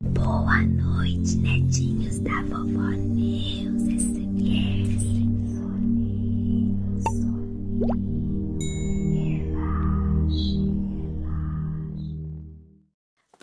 Boa noite, netinhos da vovó Neus SMR. Soninho, soninho, relaxe, relaxe.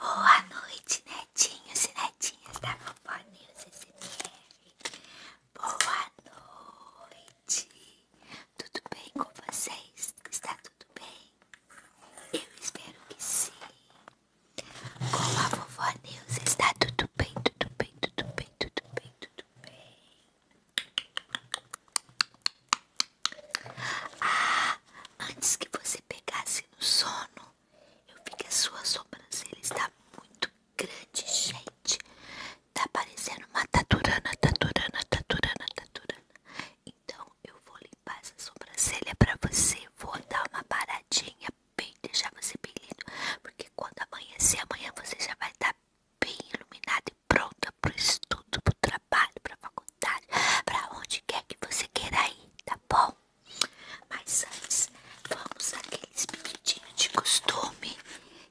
Boa noite, netinhos e netinhas da vovó Neus SMR. Boa noite. Tudo bem com vocês? Está tudo bem? Eu espero que sim. Com a vovó Neus está tudo bem, tudo bem, tudo bem, tudo bem, tudo bem. Ah, antes que você pegasse no sono, eu vi que a sua sobrancelha está muito grande, gente. Tá parecendo uma taturana, taturana, taturana, taturana. Então eu vou limpar essa sobrancelha para você. Vou dar uma paradinha bem, deixar você bem lindo. Porque quando amanhecer, amanhã você já vai estar tá bem iluminada e pronta pro estudo, pro trabalho, pra faculdade, para onde quer que você queira ir, tá bom? Mas antes, vamos naqueles pedidinhos de costume.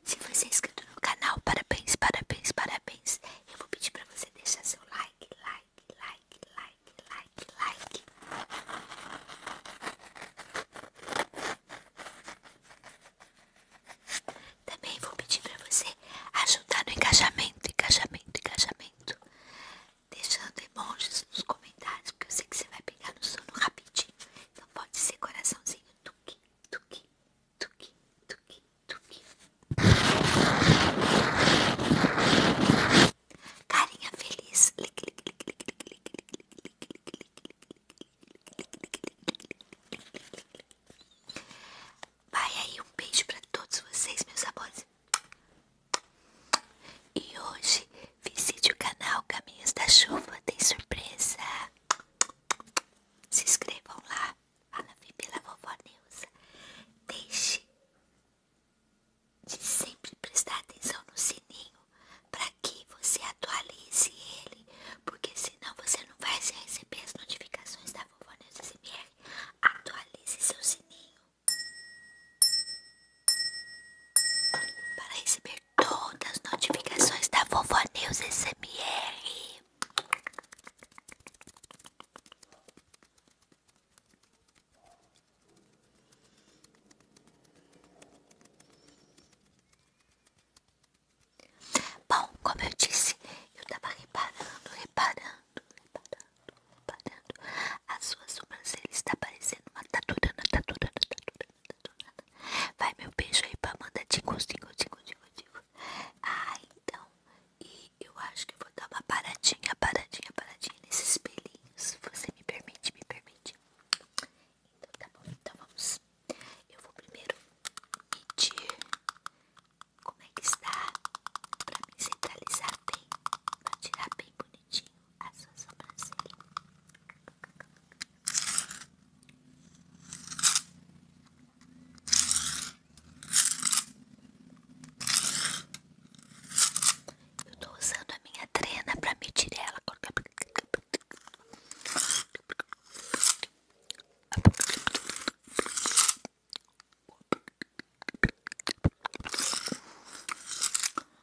Se você é inscrito no canal, parabéns, parabéns, parabéns. Eu vou pedir para você deixar seu like, like, like, like, like, like. Também vou pedir para você ajudar no engajamento, engajamento, engajamento. Deixando emojis nos comentários, porque eu sei que você vai pegar no sono rapidinho. Então pode ser coraçãozinho, tuque, tuque, tuki, tuki, tuki. Carinha feliz. Vai aí um beijo para todos vocês, meus amores. E hoje visite o canal Caminhos da Chuva, tem surpresa. Se inscrevam lá. Ana vem pela vovó Neuza. Deixe de sempre prestar atenção no sininho para que você atualize ele, porque senão você não vai receber as notificações da vovó Neuza SMR. Atualize seu sininho para receber todas as notificações da Vovó News SMR. Bom, como eu disse, eu tava reparando, reparando, reparando, reparando. A sua sobrancelha está parecendo uma taturana, taturana, taturana. Vai meu beijo aí pra Amanda Tico, tico, tico, tico, tico. Ah, então. E eu acho que vou dar uma paradinha, paradinha, paradinha nesses pelinhos. Você me permite, me permite. Então tá bom, então vamos. Eu vou primeiro medir como é que está pra me centralizar bem, pra tirar bem bonitinho a sua sobrancelha. Eu estou usando a minha trena para me medir ela.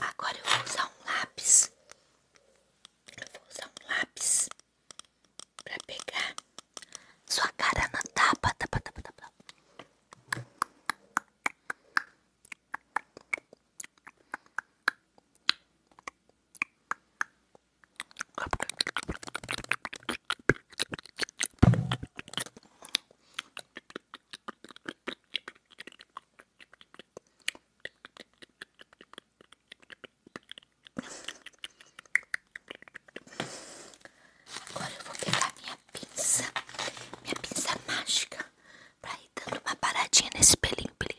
Agora eu vou usar um lápis. Eu vou usar um lápis pra pegar sua cara na tapa, tapa, tapa, tapa. Agora eu vou pegar minha pinça, minha pinça mágica, pra ir dando uma paradinha nesse pelinho, pelinho.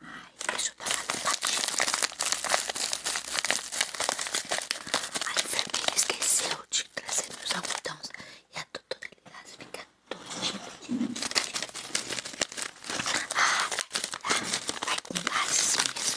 Ai, deixa eu dar uma limpadinha. A enfermeira esqueceu de trazer meus algodões e a doutora Lilás fica doida. Ah, vai, vai, vai com lacinhas.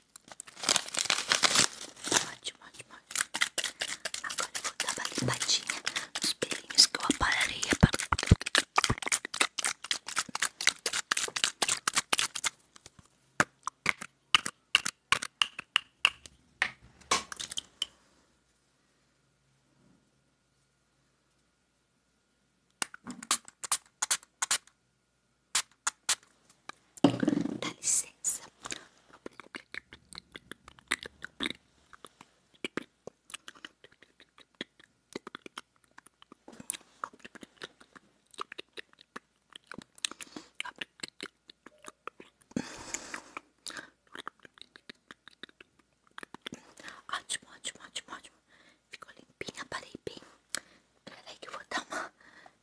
Ótimo, ótimo, ótimo. Agora vou dar uma limadinha. nos pelinhos que eu apararei é para... Dá licença. Ótimo, ótimo, ótimo, ótimo. Ficou limpinha, parei bem. Peraí que eu vou dar uma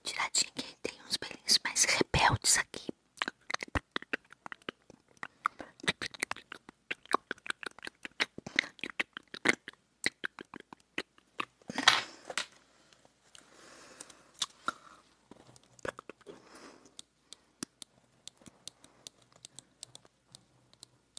tiradinha que tem uns pelinhos mais rebeldes aqui.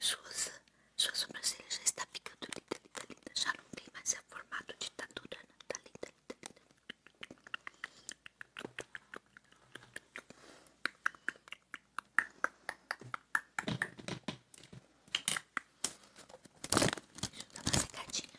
Suas, sua sobrancelha já está ficando linda, linda, linda. Já não tem mais é formato de ditadura, né? Tá linda, linda, linda. Deixa eu dar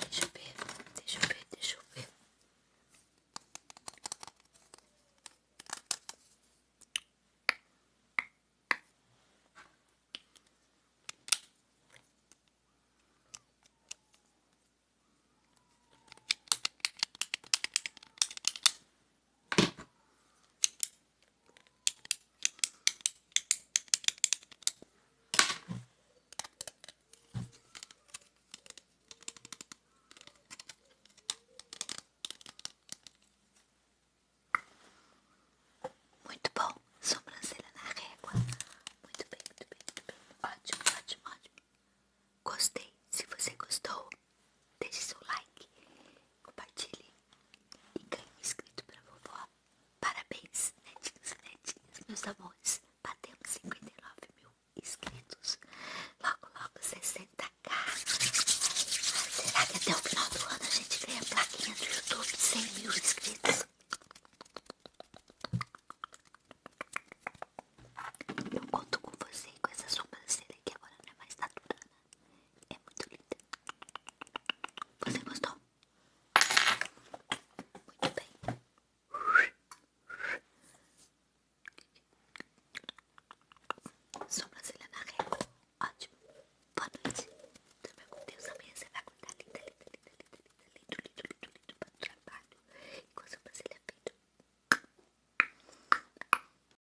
Deixa eu ver, deixa eu ver, deixa eu ver. Muito bom, sobrancelha na régua. Muito bem, muito bem, muito bem. Ótimo, ótimo, ótimo. Gostei. Se você gostou, deixe seu like, compartilhe e ganhou escrito vovó. Parabéns, netinhos e netinhas, meus amores. Batemos 59 mil inscritos. Logo, logo 60k. Será que até o final do ano a gente ganha a plaquinha do YouTube de 100 mil inscritos? Eu conto com você e com essa sobrancelha que agora não é mais naturana. Né? É muito linda. Você gostou? Muito bem. Sobrancelha na régua. Ótimo. Boa noite. Também com Deus. Amanhã você vai acordar linda, linda, linda, linda, linda, lindo, lindo, lindo, lindo para o trabalho. E com a sobrancelha feita.